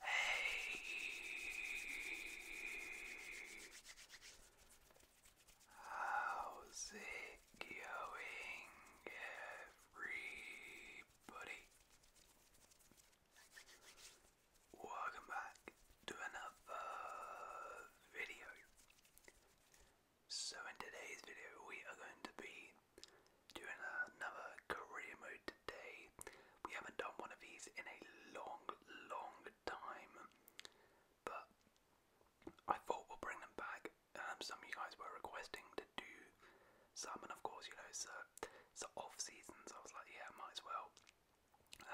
Hey. How's it going, everybody? Welcome back to another video. So in today's video we are going to be doing another career mode today. We haven't done one of these in a long, long time, but I thought we'll bring them back. Um, some of you guys were requesting to do some, and of course, you know, it's, uh, off season, so I was like, yeah, might as well.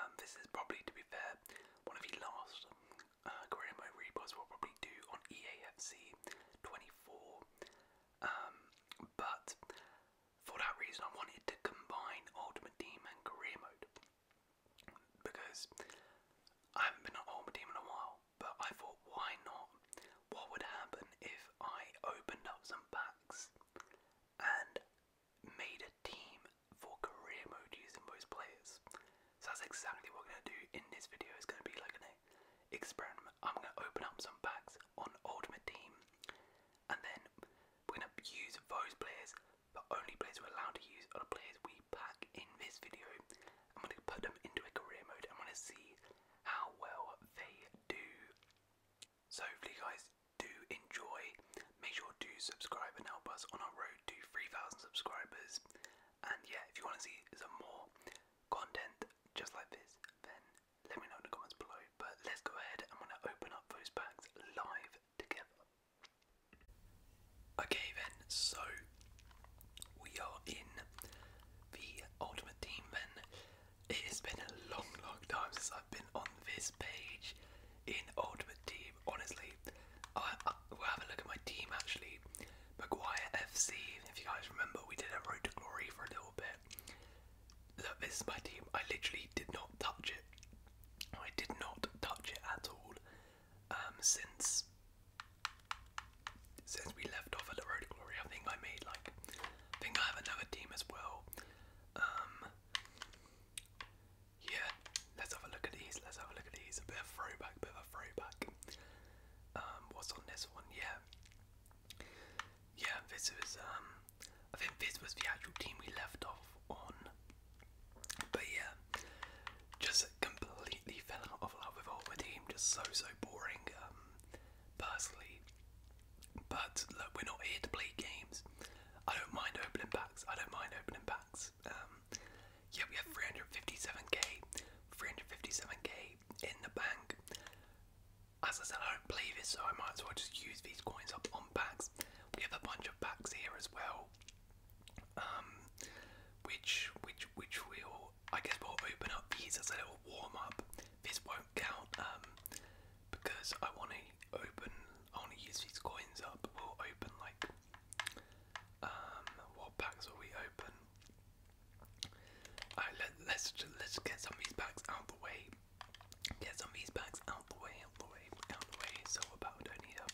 Um, this is probably, to be fair, one of the last uh, career we'll probably do on EAFC 24. Um, but for that reason, I wanted to combine Ultimate Team and Career Mode because I haven't been on Ultimate Team in a while. But I thought, why not? What would happen if I opened up some packs and made a team for Career Mode using both players? So that's exactly what I'm going to do in this video. It's going to be like an experiment. I'm going to open up some packs on Ultimate Team and then we're going to use those players, but only players we're allowed to use are the players we pack in this video. I'm going to put them into a career mode and want to see how well they do. So hopefully you guys do enjoy. Make sure to subscribe and help us on our road to 3,000 subscribers. And yeah, if you want to see some more content just like this, then let me know in the comments below. But let's go ahead, I'm gonna open up those bags live together. Okay then, so we are in the Ultimate Team then. It has been a long, long time since I've been on this page in Ultimate Team. Honestly, I, we have a look at my team actually. Maguire FC, if you guys remember, we did a Road to Glory for a little bit this is my team. I literally did not touch it. I did not touch it at all um, since since we left off at the Road of Glory. I think I made like I think I have another team as well. Um, yeah, let's have a look at these. Let's have a look at these. A bit of throwback, bit of throwback. Um, what's on this one? Yeah, yeah. This is um, I think this was the actual team we left off on. But yeah, just completely fell out of love with all the team. Just so, so boring, um, personally. But look, we're not here to play games. I don't mind opening packs. I don't mind opening packs. Um, yeah, we have 357k, 357k in the bank. As I said, I don't believe it, so I might as well just use these coins up on packs. We have a bunch of packs here as well, um, which which which will I guess we'll open up these as a little warm up. This won't count um, because I want to open. I want to use these coins up. We'll open like um, what packs will we open? Alright, let, let's let's get some of these packs out of the way get some of these bags out the way, out the way, out the way. So about don't need to,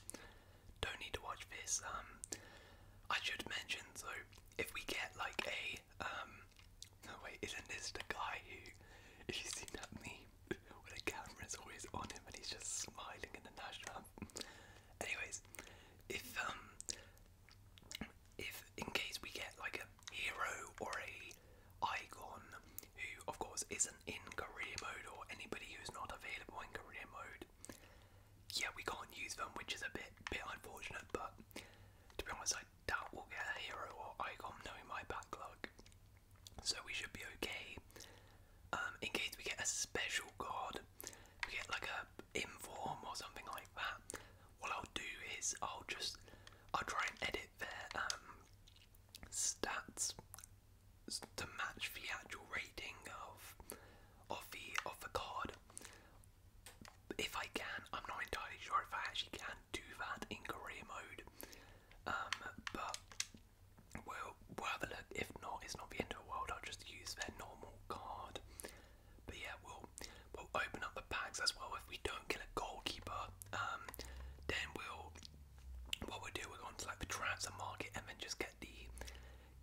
don't need to watch this. Um, I should mention so if we get like a um, no wait, isn't this the guy who, if you seen that meme where the camera is always on him and he's just smiling in the national. Anyways, if um, if in case we get like a hero or a icon who of course isn't in career mode or anybody who's not available in career mode. Yeah, we can't use them, which is a bit bit unfortunate, but to be honest I doubt we'll get a hero or icon knowing my backlog. So we should be okay. Um, in case we get a special card, we get like a inform or something like that. What I'll do is I'll just I'll try and edit their um, stats to match the actual rating of of the of the card. If I can, I'm not entirely sure if I actually can do that in career mode. Um, but we'll we'll have a look. If not, it's not the end of the world. I'll just use their normal card. But yeah, we'll we'll open up the packs as well. If we don't get a goalkeeper, um, then we'll what we do we'll go to like the transfer market and then just get the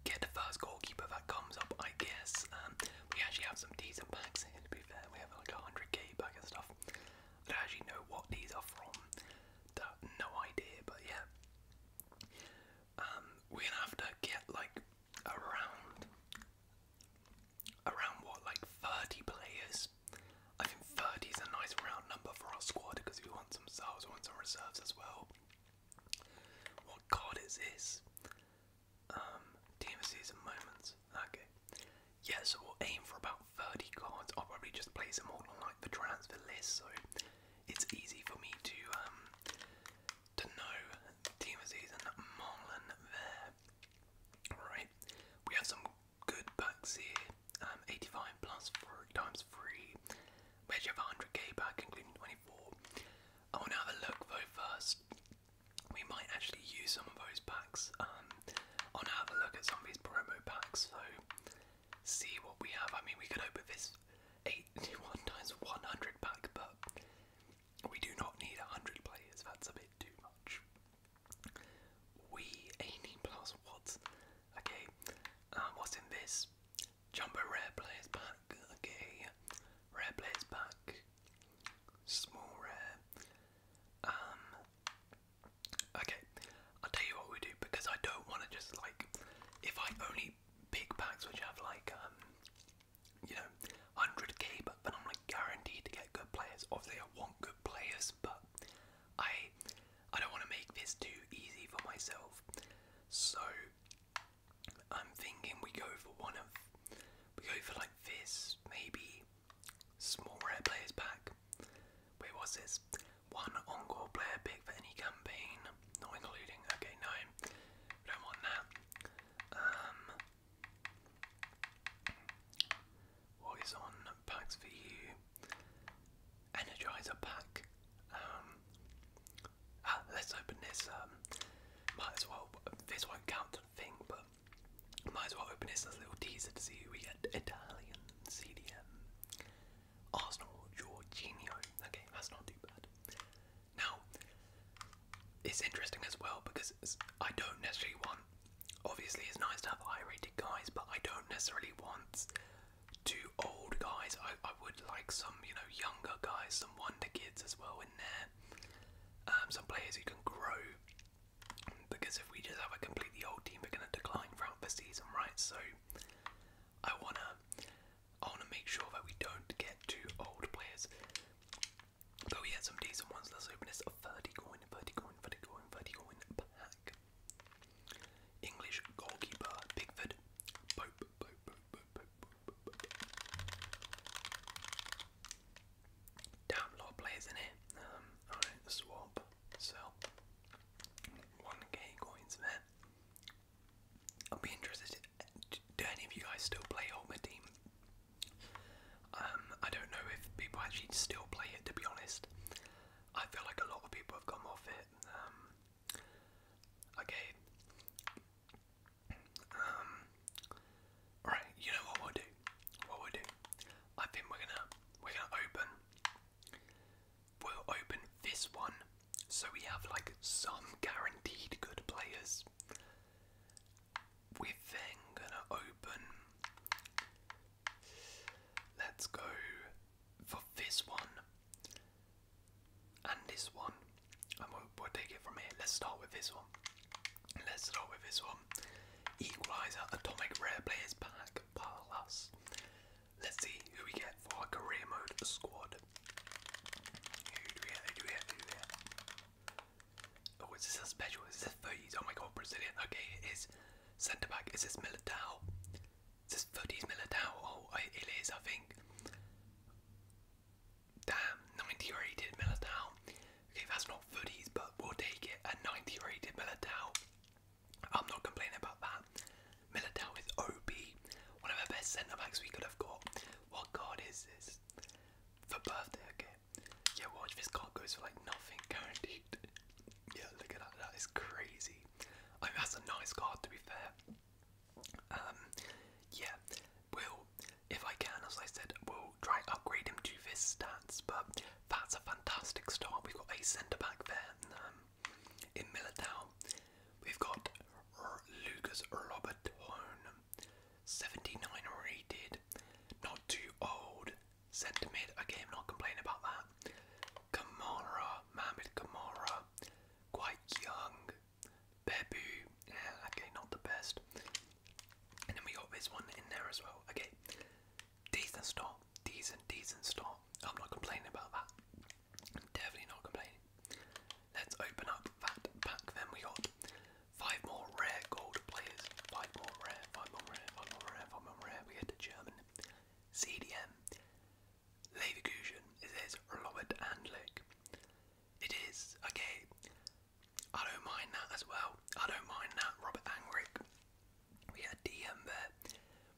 get the first goalkeeper that comes up I guess. Um, we actually have some decent packs here to be fair. We have like a hundred K pack and stuff. I don't actually know what these are from. No idea, but yeah. Um, we're have to get like around around what, like 30 players? I think 30 is a nice round number for our squad because we want some subs, we want some reserves as well. What card is this? Um, team of season moments. Okay. Yeah, so we'll aim for about 30 cards. I'll probably just place them all on like the transfer list, so it's easy for me to um to know team of season Marlon there. Alright. We have some good bucks here. Um, 85 plus four times three. Measure of 100k back, including 24. I want to have a look though first. We might actually use some of those packs. Um, I want to have a look at some of these promo packs, so see what we have. I mean, we could open this 81 times 100 pack, but we do not need 100 players. That's a bit too much. We 18 plus what? Okay. Um, what's in this? Jumbo rare players pack. Okay. Rare players pack. Small rare. Um. Okay. I'll tell you what we do because I don't want to just like. If I only pick packs which have like um, You know, 100k, but then I'm like guaranteed to get good players. Obviously, I want good players, but I I don't want to make this too easy for myself. So I'm thinking we go for one of we go for like this, maybe smaller rare players back. Wait, what's this? One encore player pick for any campaign, not including. Okay, no, we don't want that. Um, what is on packs for you? Energizer pack. Um, ah, let's open this. Um, might as well. This won't count to thing, but might as well open this as a little teaser to see who we get. Italian CDM. Arsenal Jorginho. Okay, that's not too bad. Now, it's interesting as well because I don't necessarily want obviously it's nice to have high-rated guys, but I don't necessarily want too old guys. I, I would like some, you know, younger guys, some wonder kids as well in there. Um, some players who can grow. Because if we just have a completely old team, we're going to decline throughout the season, right? So I wanna, I wanna make sure that we don't get too old players. But we had some decent ones. Let's open this. A 30 coin, 30 coin, 30 coin, 30 coin pack. English goalkeeper Pickford. Damn, lot of players in here. Um, alright, swap, sell. 1k coins there. I'll be interested. Do any of you guys still play Ultimate Team? Um, I don't know if people actually still play it, to be honest. I feel like a lot of people have come off it. Um, okay. Um, You know what we'll do. What we'll do. I think we're gonna we're gonna open. We'll open this one, so we have like some guaranteed good players. We're then gonna open Let's go for this one and this one, and we'll, take it from here. Let's start with this one. Let's start with this one. Equalizer Atomic Rare Players Pack Plus. Let's see who we get for our career mode squad. Who do we get? Who do we get? Oh, is this a special? Is this a Oh my god, Brazilian. Okay, it is. Centre back is this Militao. Is this footies Militao? Oh, it is, I think. Damn, 90 rated Militao. Okay, that's not footies, but we'll take it. A 90 rated Militao. I'm not complaining about that. Militao is OB. One of the best centre backs we could have got. What card is this? For birthday, okay. Yeah, watch this card goes for like nothing, guaranteed. Yeah, look at that. That is crazy. that's a nice card to be fair. Um, yeah, Well, if I can, as I said, we'll try and upgrade him to this stats, but that's a fantastic start. We've got a centre back there um, in Militao. We've got R Lucas Robertone, 79 rated, not too old, Centre mid, again, not complaining about that. Kamara, Mohamed Kamara, quite young. Bebu, yeah, okay, not the best. And then we got this one in there as well. Okay, decent start, decent, decent start. I'm not complaining about that. Definitely not complaining. Let's open up that pack. Then we got five more rare gold players. Five more rare, five more rare, five more rare, five more rare. We get the German, CDM. Leverkusen is his Robert Handlick. It is, okay, I don't mind that as well. I don't mind that, Robert Angrick. We had DM there.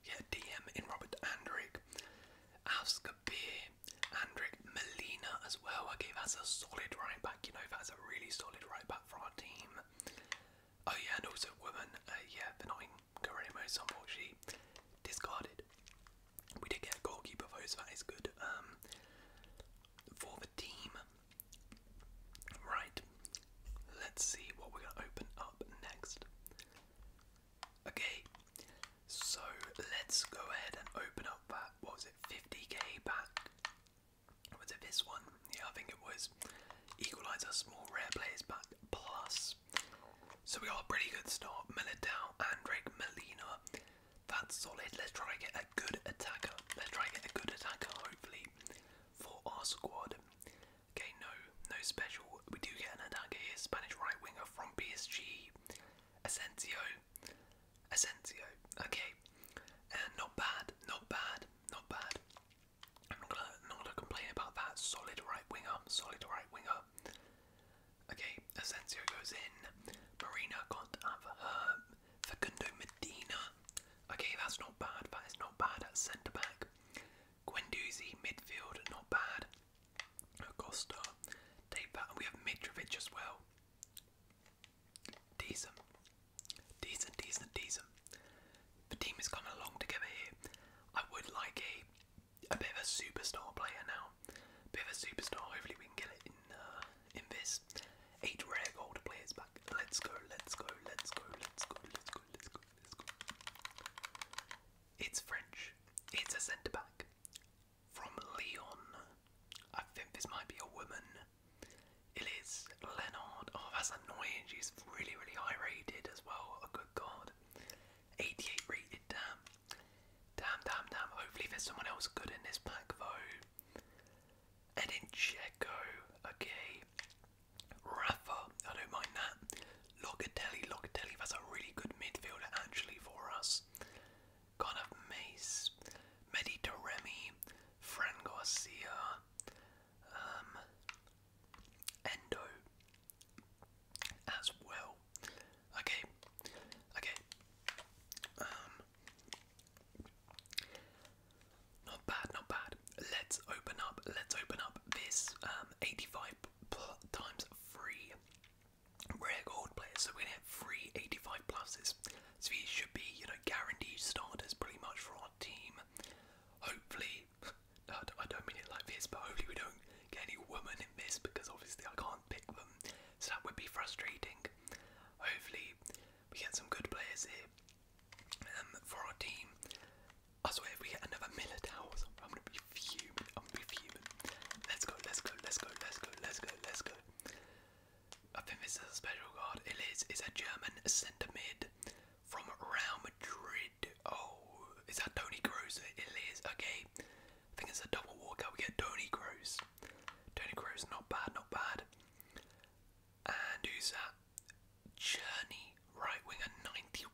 We had DM in Robert Andrick. Avskabir, Andrick, Melina as well. I Okay, us a solid right back, you know, that's a really solid right back for our team. Oh yeah, and also woman, uh, yeah, benign Karemos, unfortunately, discarded. We did get goalkeeper though, so that is good. Um, for the team, right? Let's see what we're gonna open up next. Okay, so let's go ahead and open up that. What was it? 50k back. Was it this one? yeah, I think it was equaliser, small rare players but plus. So we got a pretty good start. Militao, Andrek, Molina. That's solid. Let's try and get a good attacker. Let's try and get a good attacker, hopefully, for our squad. Okay, no, no special. We do get an attacker here. Spanish right winger from PSG. Asensio. Asensio. Okay. And not bad. Not bad. Not bad. I'm not gonna, complain about that. Solid right winger, solid right winger. Okay, Asensio goes in. Marina got not have her. Facundo Medina. Okay, that's not bad. That is not bad at centre back. Guendouzi, midfield, not bad. Acosta, take that. we have Mitrovic as well. Decent. Decent, decent, decent the team is coming along together here. I would like a a bit of a superstar player now. A bit of a superstar. Hopefully we can get it in uh, in this. Eight rare gold players back. Let's go. Let's go. Let's go. Let's go. Let's go. Let's go. Let's go. It's French. It's a centre back from Lyon. I think this might be a woman. It is Leonard. Oh, that's annoying. She's really, really high rated as well. Oh, good god. 88 rated, damn. Damn, damn, damn. Hopefully, there's someone else good in this pack, though. And in okay. Rafa, I don't mind that. Locatelli, Locatelli, that's a really good midfielder actually for us. Kind of Mace, Medi Fran Garcia, um, Endo as well. Okay, okay. Um, not bad, not bad. Let's open up. Let's open up this um, 85 times free rare gold So we're gonna have three 85 pluses. So these should be, you know, guaranteed starters pretty much for our team. Hopefully, I don't mean it like this, but hopefully we don't get any women in this because obviously I can't pick them, so that would be frustrating. Hopefully we get some good players here um, for our team. I swear if we get another Militao, I'm gonna be fuming. I'm gonna be fuming. Let's go, let's go, let's go, let's go, let's go, let's go. I think this is a special card. It is. It's a German centre mid from Real Madrid. Oh, is that Tony Kroos? It is. Okay, I think it's a double walkout. We get Tony Kroos. Tony Kroos, not bad, not bad. And who's that? Journey, right winger, 91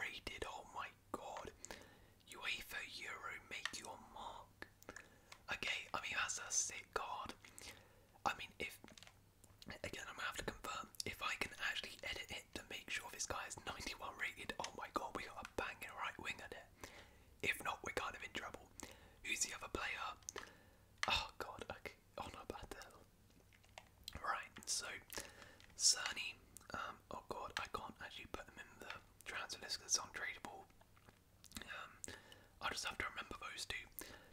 rated. Oh my god. UEFA Euro, make your mark. Okay, I mean that's a sick card. I mean if Again, I'm gonna have to confirm if I can actually edit it to make sure this guy is 91 rated. Oh my god, we got a banging right winger there. If not, we're kind of in trouble. Who's the other player? Oh god, okay. Oh no, Right, so Cerny. Um, oh god, I can't actually put them in the transfer list because it's untradeable. Um, I just have to remember those two.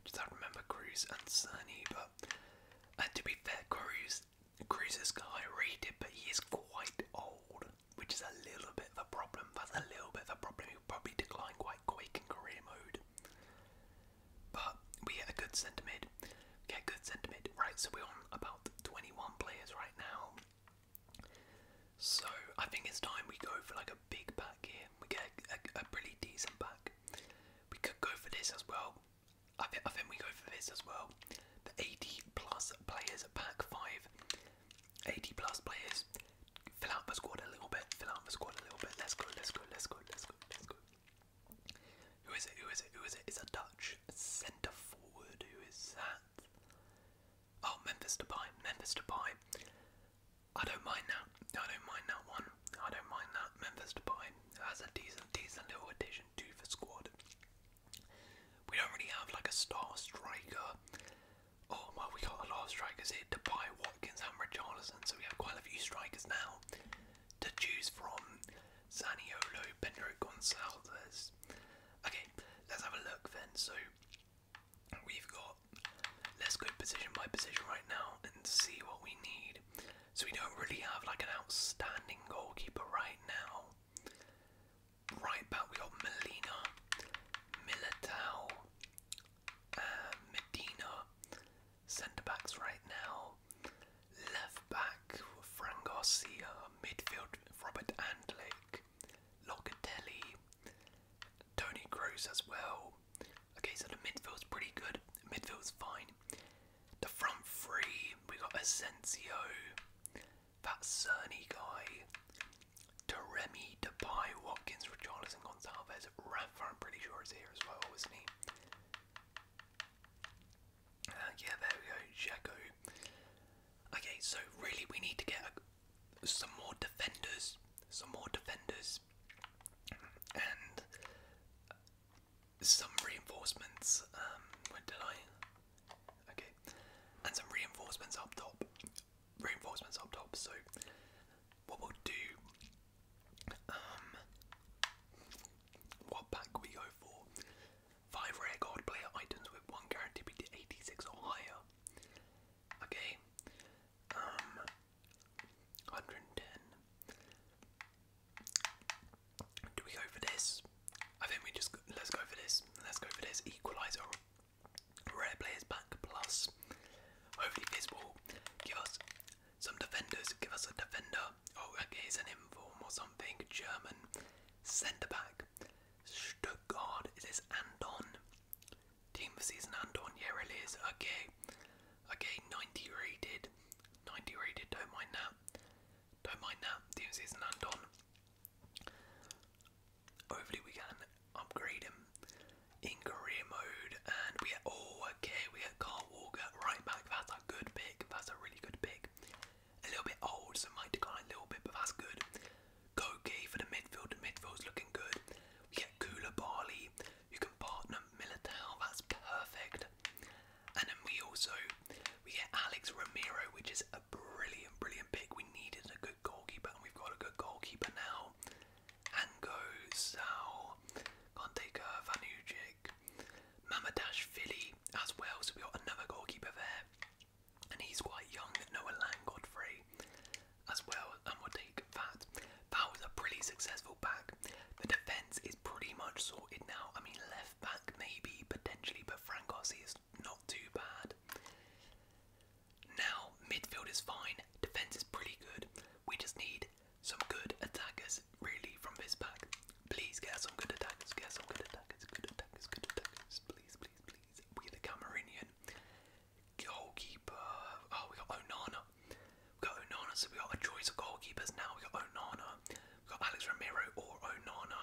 Just have to remember Cruz and Cerny, but and to be fair, Cruz, Cruz is guy rated, but he is quite old, which is a little bit of a problem. That's a little bit of a problem. he probably decline quite quick in career mode. But we get a good centre mid. We good centre mid. Right, so we're on about 21 players right now. So I think it's time we go for like a big back here. We get a, a, a pretty decent back. We could go for this as well. I, th I think we go for this as well. The 80 plus players pack five. 80 plus players. Fill out the squad a little bit. Fill out the squad a little bit. Let's go. Let's go. Let's go. Let's go. Let's go. Who is it? Who is it? Who is it? It's a Dutch centre forward. Who is that? Oh, Memphis Depay. Memphis Depay. I don't mind that. I don't mind that one. I don't mind that. Memphis Depay has a decent, decent little addition to the squad. We don't really have like a star striker. Oh well, we got a lot of strikers here: Depay, Watkins, and Richarlison. So we have quite a few strikers now to choose from. Zaniolo, Pedro Gonzalez. Okay, let's have a look then. So we've got. Let's go position by position right now and see what we need. So we don't really have like an outstanding goalkeeper right now. Right back we got Molina, Militao, uh, Medina. Centre backs right now. Left back Fran Garcia, midfield Robert Andlake, Locatelli, Tony Gross as well. Okay, so the midfield's pretty good. Midfield's fine. The front three, we got Asensio, that Cerny guy, Taremi, Depay, Watkins, Richarlison, Gonzalez, Rafa, I'm pretty sure is here as well, isn't he? Uh, yeah, there we go, Jacko. Okay, so really we need to get some more defenders, some more defenders, and some reinforcements. Um, when did I? Okay, and some reinforcements up top. Reinforcements up top. So what we'll do? Um, what pack we go for? Five rare player items with one guarantee be 86 or higher. Okay. Um, 110. Do we go for this? I think we just let's go for this. Let's go for this equaliser. Rare players back plus. Hopefully this will give us some defenders. Give us a defender. Oh, okay, it's an inform or something. German centre back. Stuttgart. It is Andon. Team for season Andon. Yeah, really Okay. Okay, 90 rated. 90 rated, don't mind that. Don't mind that. DMC is an Andon. Hopefully we can upgrade him in career mode and we oh okay, we have Carl Walker right back. That's a good pick. That's a really good pick. A little bit old, so might decline a little bit, but that's good. Koke for the midfield, the midfield's looking good. We get Kula Barley, you can partner Militao, that's perfect. And then we also we get Alex Romero, which is a brilliant, brilliant pick. We needed a good goalkeeper, and we've got a good goalkeeper now. Ango, Sal, Conteka, Vanujic, Mamadash Philly as well, so we got another goalkeeper there. And he's quite young, Noah Lang Godfrey as well, and we'll take that. That was a pretty successful back back. The defence is pretty much sorted now. I mean, left back maybe, potentially, but Frankossi is not too bad. Now, midfield is fine, defence is pretty good. We just need some good attackers, really, from this pack. Please get some good attackers, get some good attackers, good attackers, good attackers. Please, please, please. We're the Cameroonian. Goalkeeper. Oh, we got Onana. We got Onana, so we got a choice of goalkeepers now. We got Onana got Alex Ramiro or Onana.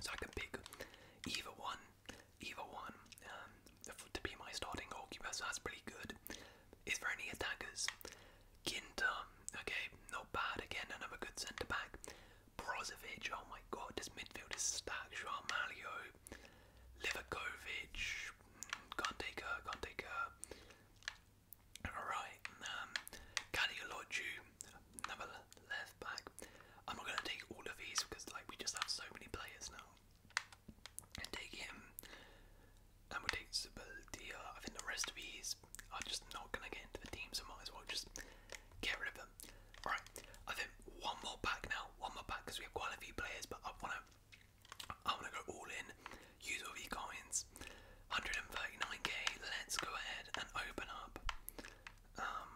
So I can pick either one, either one um, to be my starting goalkeeper. So that's pretty good. Is there any attackers? Ginter, okay, not bad. Again, another good centre back. Brozovic, oh my god, this midfield is stacked. Malio, Livakovic, mm, can't take her, can't take her. Alright, um, Cadiologiu, another left back. I'm not going to take all of these because like we just have so many players now. And take him, and we'll take Subaldia. I think the rest of these are just not going to get into the team, so might as well just get rid of them. Alright, I think one more pack now, one more pack because we have quite a few players, but I want to I want to go all in use all your coins. 139k, let's go ahead and open up. Um,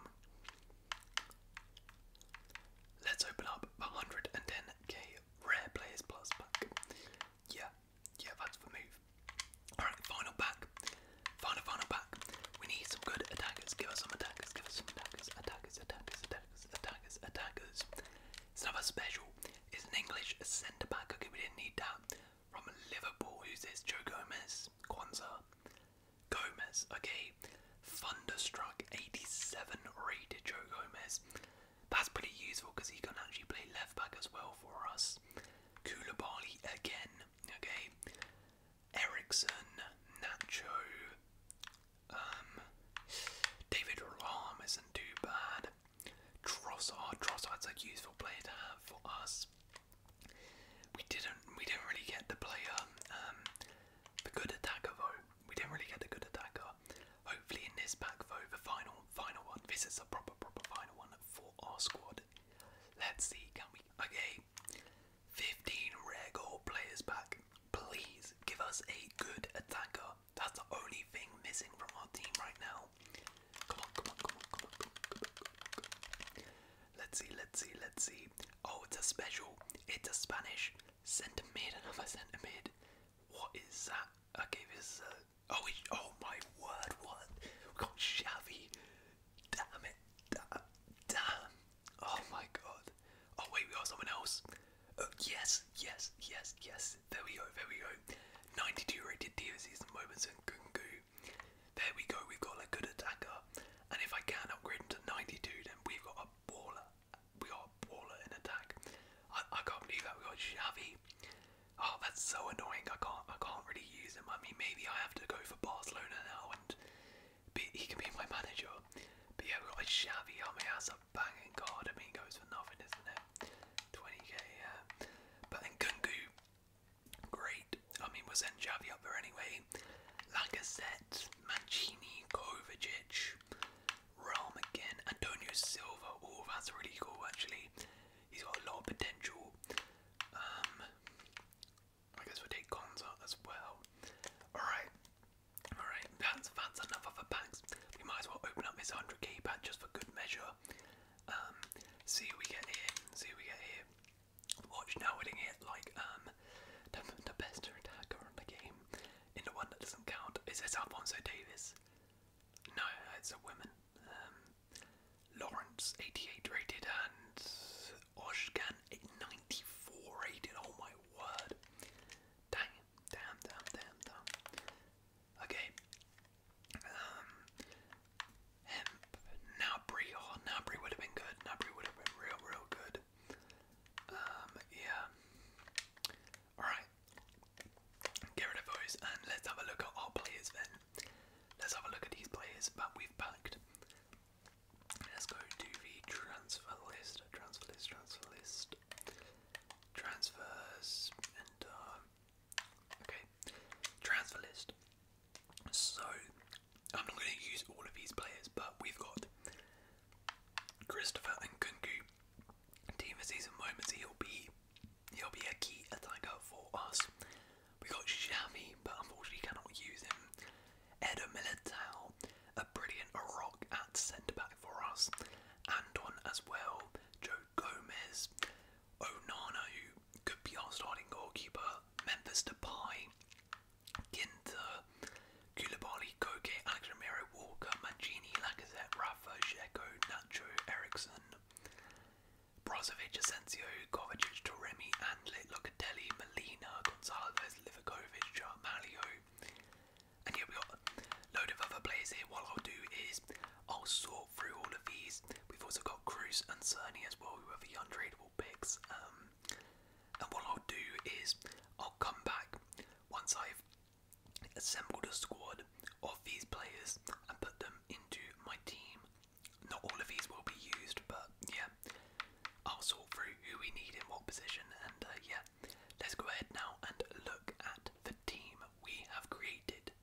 let's open up 110k rare players plus pack. Yeah, yeah, that's the move. Alright, final pack. Final, final pack. We need some good attackers. Give us some attackers, give us some attackers, attackers, attackers, attackers, attackers, attackers. It's another special. It's an English centre back. Okay, we didn't need that. From Liverpool, who's this? Joe Gomez, Quanza, Gomez, okay. Thunderstruck 87 rated Joe Gomez. That's pretty useful because he can actually play left back as well for us. Koulibaly again, okay. Ericsson, Nacho, um, David Rahm isn't too bad. Trossard. Trossard's a useful player to have for us. We didn't. We didn't really get the player, um, the good attacker We didn't really get the good attacker. Hopefully in this pack though, the final, final one. This is a proper, proper final one for our squad. Let's see. Can we? Okay. 15 rare gold players back. Please give us a good attacker. That's the only thing missing from our team right now. Come on, come on, come on, come on, Let's see, let's see, let's see. Oh, it's a special. It's a Spanish centimid, another centimid. What is that? Okay, this is Oh, oh my word, what? We got Xavi. Damn it. Damn. Oh my god. Oh, wait, we got someone else. Oh, yes, yes, yes, yes. There we go, there we go. 92 rated DVCs and moments and Gungu there we go, we've got a good attacker. And if I can upgrade him to 92, then we've got a baller. We got a baller in attack. I, can't believe that we got Xavi. Oh, that's so annoying. I can't I can't really use him. I mean, maybe I have to go for Barcelona now, and he can be my manager. But yeah, we got a on oh, I mean, that's a banging card. I mean, he goes for nothing, isn't it? 20k, yeah. But Nkunku, Great. I mean, was Enjavi send Xavi up there anyway. Lacazette, Mancini, Kovacic, Rom again, Antonio Silva. Oh, that's really cool, actually. He's got a lot of potential. Um, I guess we'll take Gonza as well. Alright. Alright, that's, that's enough of the packs. We might as well open up this 100k pack just for good measure. Um, see who we get here. See who we get here. Watch now winning it like um the, best attacker on the game. In the one that doesn't count. Is this Alfonso Davis? No, it's a woman. Um, Lawrence 88 rated and Oshgan 94 rated. Oh my word. Dang, damn, damn, damn, damn. Okay. Um, hemp. Nabri. Oh, Nabri would have been good. Nabri would have been real, real good. Um, yeah. Alright. Get rid of those and let's have a look at our players then. Let's have a look at these players But we've packed. Let's go to the transfer list. Transfer list, transfer list. Transfers and um, Okay, transfer list. So, I'm not going to use all of these players, but we've got Christopher and Kunku. Team of season moments, he'll be he'll be a key attacker for us. We got Shami, but unfortunately cannot use him. Edo Militao, a brilliant rock at centre back for us. and Anton as well. Joe Gomez, Onana, who could be our starting goalkeeper, Memphis Depay, Ginter, Koulibaly, Koke, Alex Romero, Walker, Mancini, Lacazette, Rafa, Dzeko, Nacho, Eriksson, Brozovic, Asensio, Kovacic, Toremi, Andlit, Locatelli, Molina, Gonsalves, Livakovic, Malio. And yeah, we got a load of other players here. What I'll do is I'll sort through all of these. We've also got Cruz and Cerny as well, who are the untradeable picks. Um, and what I'll do is I'll come back once I've assembled a squad of these players and put them into my team. Not all of these will be used, but yeah, I'll sort through who we need in what position. And uh, yeah, let's go ahead now and look at the team we have created.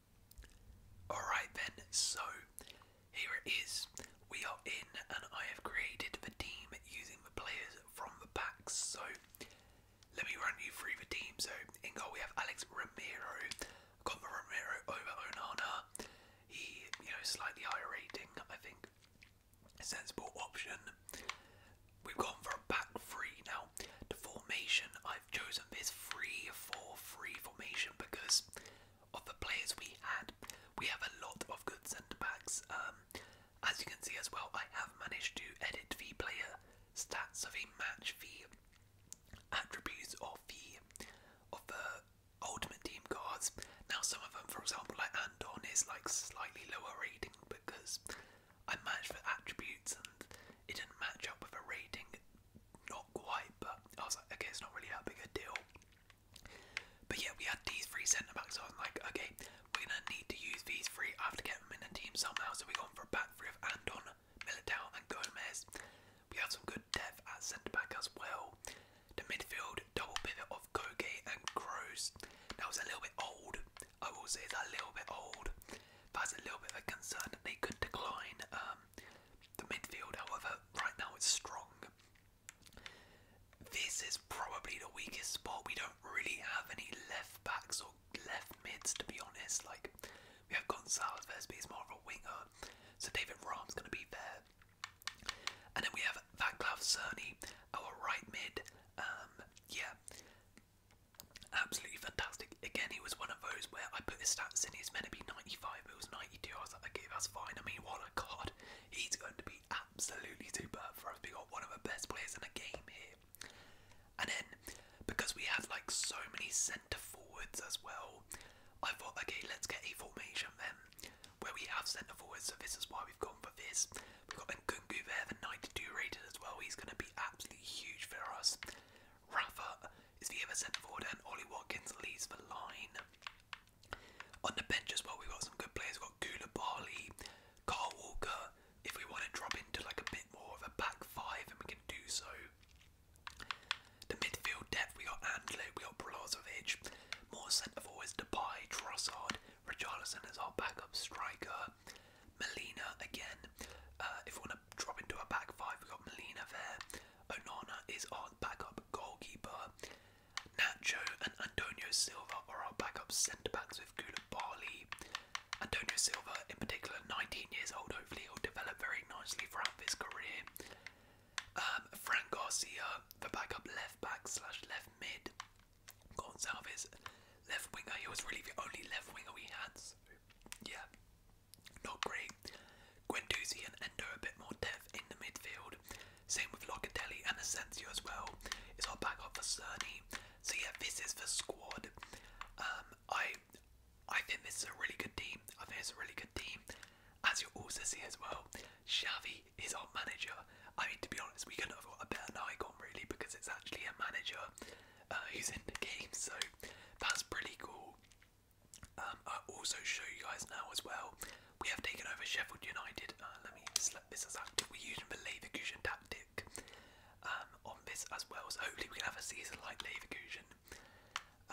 Alright then, so here it is. We are in and I have created the team using the players from the packs. So let me run you through the team. So in goal we have Alex Ramiro. I've got the Romero over Onana. He, you know, slightly higher rating, I think. sensible option. We've gone for a back free now. The formation I've chosen this free 4 free formation because of the players we had. We have a lot of good centre backs. Um, as you can see as well, I have managed to edit the player stats of a match, the attributes of the of the ultimate team cards. Now, some of them, for example, like Andon, is like slightly lower rating because I matched the attributes and it didn't match up with a rating not quite, but I was like, okay, it's not really that big a deal. But yeah, we had these three centre backs, so I was like, okay, we're gonna need to use these three. I have to get them in the team somehow, so we gone for a Andon, Militao, and Gomez. We have some good depth at centre back as well. The midfield double pivot of Koke and Kroos. That was a little bit old. I will say that a little bit old. That's a little bit of a concern that they could decline. Um, the midfield, however, right now is strong. This is probably the weakest spot. We don't really have any left backs or left mids, to be honest. Like we have Gonzalez there, but he's more of a winger. So David Rahm's going to be there, and then we have Vaclav Cerny, our right mid. Um, yeah, absolutely fantastic. Again, he was one those where I put the stats in, he's meant to be 95, it was 92. I was like, okay, that's fine. I mean, what a god! He's going to be absolutely superb for us. We got one of the best players in the game here. And then, because we have like so many centre forwards as well, I thought, okay, let's get a formation then where we have centre forwards. So, this is why we've gone for this. We've got Nkungu there, the 92 rated as well. He's going to be absolutely huge for us. Rafa is the ever centre forward, and Ollie Watkins leads the line. On the bench as well, we've got some good players. We've got Kula Koulibaly, Carl Walker. If we want to drop into like a bit more of a back five, and we can do so. The midfield depth, we got Andlo, we got Brozovic, more centre forwards, Depay, Trossard, Richarlison is our backup striker, Molina again. Uh, if we want to drop into a back five, we we've got Molina there. Onana is our backup goalkeeper. Nacho and Antonio Silva are our backup centre backs with Koulibaly. Antonio Silva, in particular, 19 years old, hopefully he'll develop very nicely throughout his career. Um, Frank Garcia, the backup left back slash left mid. Gonsalves, left winger. He was really the only left winger we had. yeah, not great. Guendouzi and Endo a bit more depth in the midfield. Same with Locatelli and Asensio as well. Is our backup for Cerny. So yeah, this is the squad. Um, I I think this is a really good team. I think it's a really good team. As you also see as well, Shavi is our manager. I mean, to be honest, we couldn't have got a an icon really because it's actually a manager uh, who's in the game. So that's pretty cool. Um, I'll also show you guys now as well. We have taken over Sheffield United. Uh, let me slap this as active. We're using the Leverkusen tactic um, on this as well. So hopefully we can have a season like Leverkusen.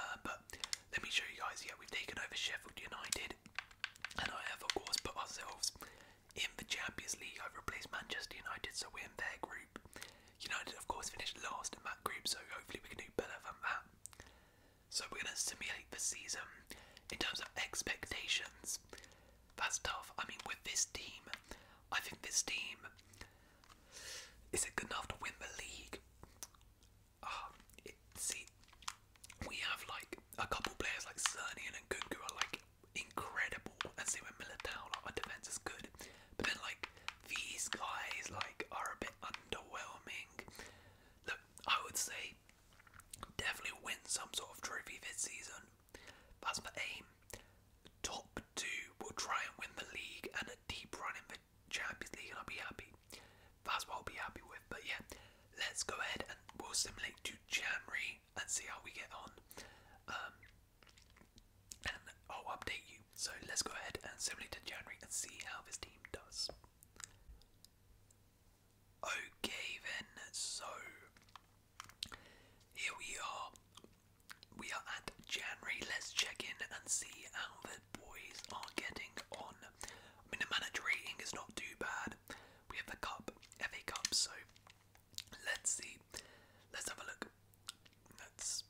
Uh, but let me show you guys. Yeah, we've taken over Sheffield United, and I have of course put ourselves in the Champions League. I've replaced Manchester United, so we're in their group. United, of course, finished last in that group, so hopefully we can do better than that. So we're going to simulate the season in terms of expectations. That's tough. I mean, with this team, I think this team is it good enough to win the league? Ah, see, we have like a couple players like Cerny and Nkunku are like incredible, and see with Militao. Like, our defense is good, but then like these guys like are a bit underwhelming. Look, I would say definitely win some sort of trophy this season. That's my aim. Top two will try and win the league and a deep run in the Champions League, and I'll be happy. That's what I'll be happy with. But yeah, let's go ahead and we'll simulate to January and see how we get on. Um, and I'll update you. So let's go ahead and simulate to January and see how this team does. Okay then, so here we are. We are at January. Let's check in and see how the boys are getting on. I mean, the manager rating is not too bad. We have the cup, FA Cup, so let's see. Let's have a look. Let's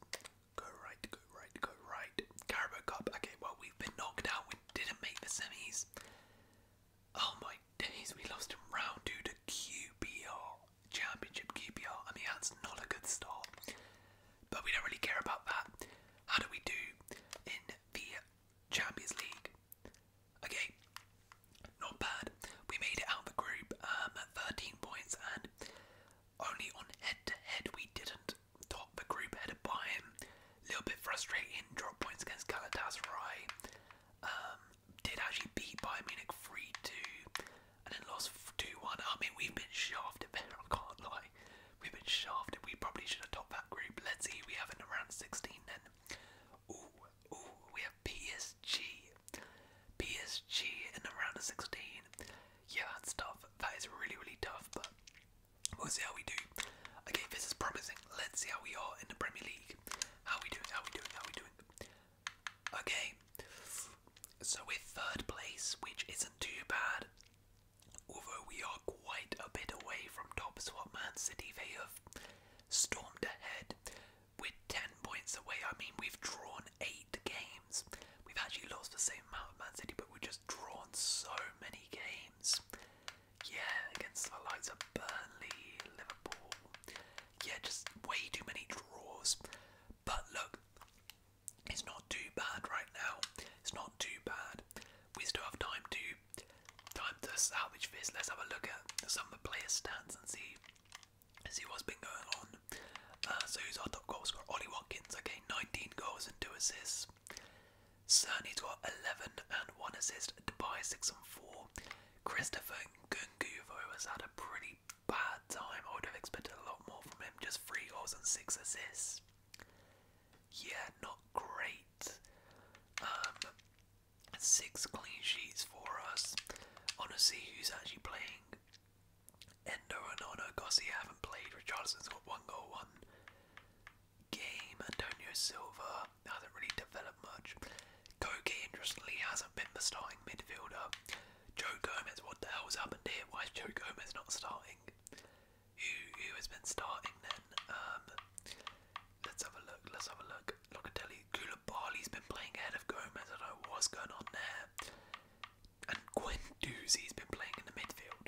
Go right, go right, go right. Carabao Cup. Okay, well, we've been knocked out. We didn't make the semis. Oh my days, we lost in round two to QPR. Championship QPR. I mean, that's not a good start. But we don't really care about that. How do we do in the Champions League? Okay, not bad. We made it out of the group um, 13 points, and only on head to head we didn't top the group headed by him. little bit frustrating, drop points against Galatasaray. Um, did actually beat Bayern Munich 3-2 and then lost 2-1. I mean, we've been shafted I can't lie. We've been shafted. We probably should have topped that group. Let's see, we have in around 16 then. Ooh, ooh, we have PSG. PSG in round 16. Yeah, that's tough. That is really, really tough, but We'll see how we do. Okay, this is promising. Let's see how we are in the Premier League. How we doing? How we doing? How we doing? Okay, so we're third place, which isn't too bad. Although we are quite a bit away from top, so Man City they have stormed ahead. We're ten points away. I mean, we've drawn eight games. We've actually lost the same amount of Man City, but we're just drawn so many games. Yeah, against the likes of Burnley, Liverpool. Yeah, just way too many draws. But look, it's not too bad right now. It's not too bad. We still have time to time to salvage this. Let's have a look at some of the player stats and see see what's been going on. Uh, so who's our top goalscorer? scorer? Ollie Watkins. Okay, 19 goals and two assists. Cerny's got 11 and 1 assist, Dubai 6 and 4. Christopher Gunguvo has had a pretty bad time. I would have expected a lot more from him, just 3 goals and 6 assists. Yeah, not great. Um, 6 clean sheets for us. Honestly, who's actually playing? Endo and Ono Gossi haven't played. Richardson's got 1 goal, 1 game. Antonio Silva hasn't really developed much. Koki, interestingly, hasn't been the starting midfielder. Joe Gomez, what the hell's happened here? Why is Joe Gomez not starting? Who, has been starting then? Um, let's have a look, let's have a look. Locatelli, Koulibaly's been playing ahead of Gomez, I don't know what's going on there. And Quindoozy's been playing in the midfield.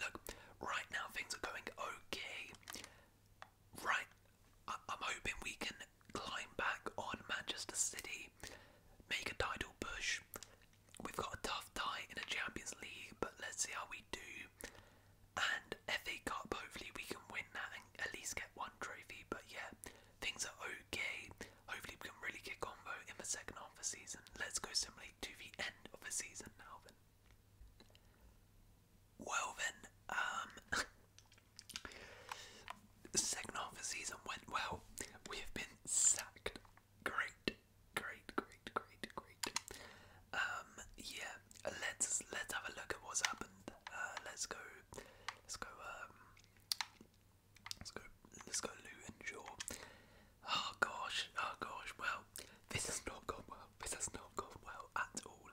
Look, right now things are going okay. Right, I am hoping we can climb back on Manchester City, make a title push. We've got a tough tie in the Champions League, but let's see how we do. And FA Cup, hopefully we can win that and at least get one trophy. But yeah, things are okay. Hopefully we can really kick on though in the second half of the season. Let's go simulate to the end of the season now then. Well then, the second half of the season went well. We have been sacked. Great, great, great, great, great. Um, yeah, let's let's have a look at what's happened. Uh, let's go let's go um, let's go let's go Lou and Shaw. Oh gosh, oh gosh, well, this has not gone well. This has not gone well at all.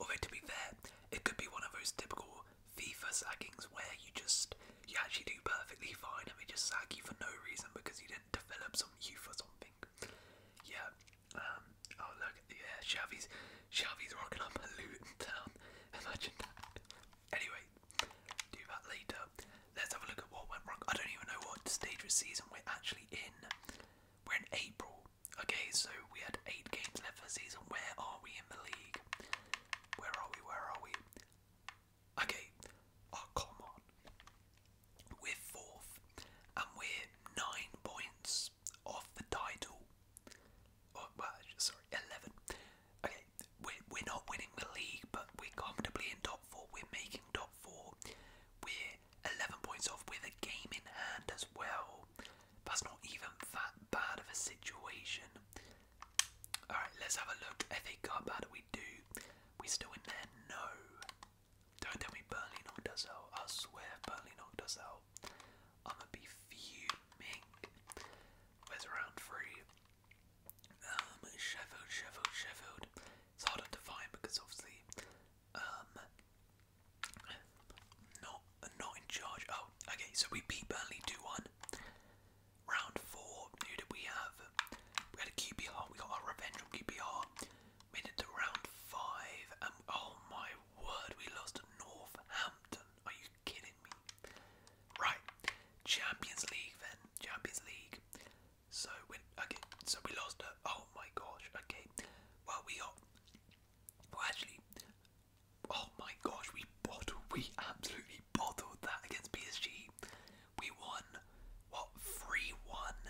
Although to be fair, it could be one of those typical FIFA sackings where you just you actually do perfectly fine and they just sack you for no reason because you didn't develop some youth or something. Yeah. Um oh look yeah, Xavi's Xavi's rocking up a Luton town. Imagine that. Anyway, do that later. Let's have a look at what went wrong. I don't even know what stage of season we're actually in. We're in April. Okay, so we had eight games left for the season. Where are we in the league? Where are we? Where are we? Okay. Oh, come on. We're fourth, and we're nine points off the title. Oh, well, sorry, eleven. Okay, we're we're not winning the league, but we're comfortably in top four. We're making top out We're 11 points off with a game in hand as well. That's not even that bad of a situation. Alright, let's have a look. FA Cup, how do we do? We still in there? No. Don't tell me Burnley knocked us out. I swear Burnley knocked us out. I'm gonna be fuming. Where's round three? Um, Sheffield, Sheffield, Sheffield. It's harder to find because obviously, um, not not in charge. Oh, okay. So we beat Burnley two one. Round four. Who did we have? We had a QPR. We got our revenge on QPR. Made it to round five, and oh my word, we lost to Northampton. Are you kidding me? Right. Champions League then. Champions League. So when okay, so we lost her. Oh my gosh. Okay. Well, we got. Well, actually. Oh my gosh, we bottled. We absolutely bottled that against PSG. We won what three one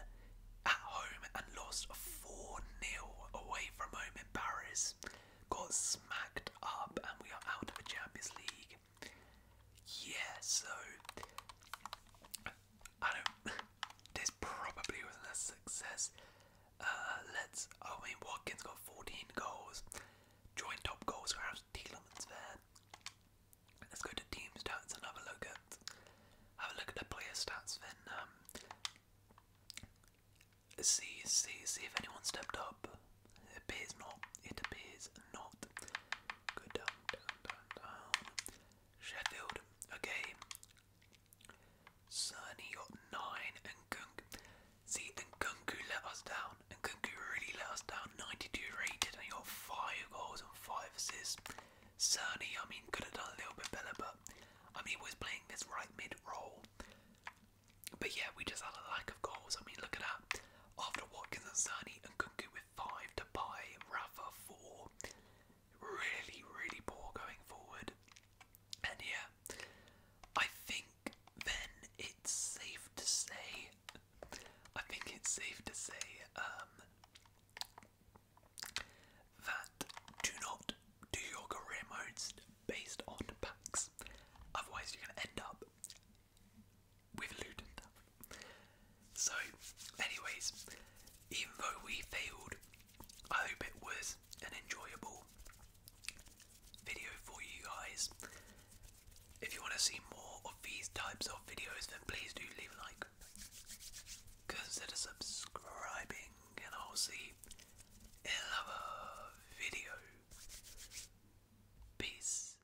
at home and lost four 0 away from home in Paris. Got smacked up and we are out of the Champions League. Yeah, so I don't. This probably wasn't a success. Uh, let's. I mean, Watkins got 14 goals. Joint top goals, perhaps Tielemans there. Let's go to team stats and look at have a look at the player stats. Then um, see see see if anyone stepped up. It appears not. It appears not. Good down, down, down, down. Sheffield, okay. Cerny got nine and Gunk. See, and Gunku let us down. And Gunku really let us down. 92 rated and he got five goals and five assists. Cerny, I mean, could have done a little bit better, but I mean, he was playing this right mid role. But yeah, we just had a lack of goals. I mean, look at that. After Watkins and Cerny and Gunku, five to buy, Rafa four. Really, really poor going forward. And yeah, I think then it's safe to say. I think it's safe to say um, that do not do your career modes based on packs. Otherwise, you're gonna end up with Luton. So, anyways, even though we failed, I hope it was an enjoyable video for you guys. If you want to see more of these types of videos, then please do leave a like, consider subscribing, and I'll see another video. Peace.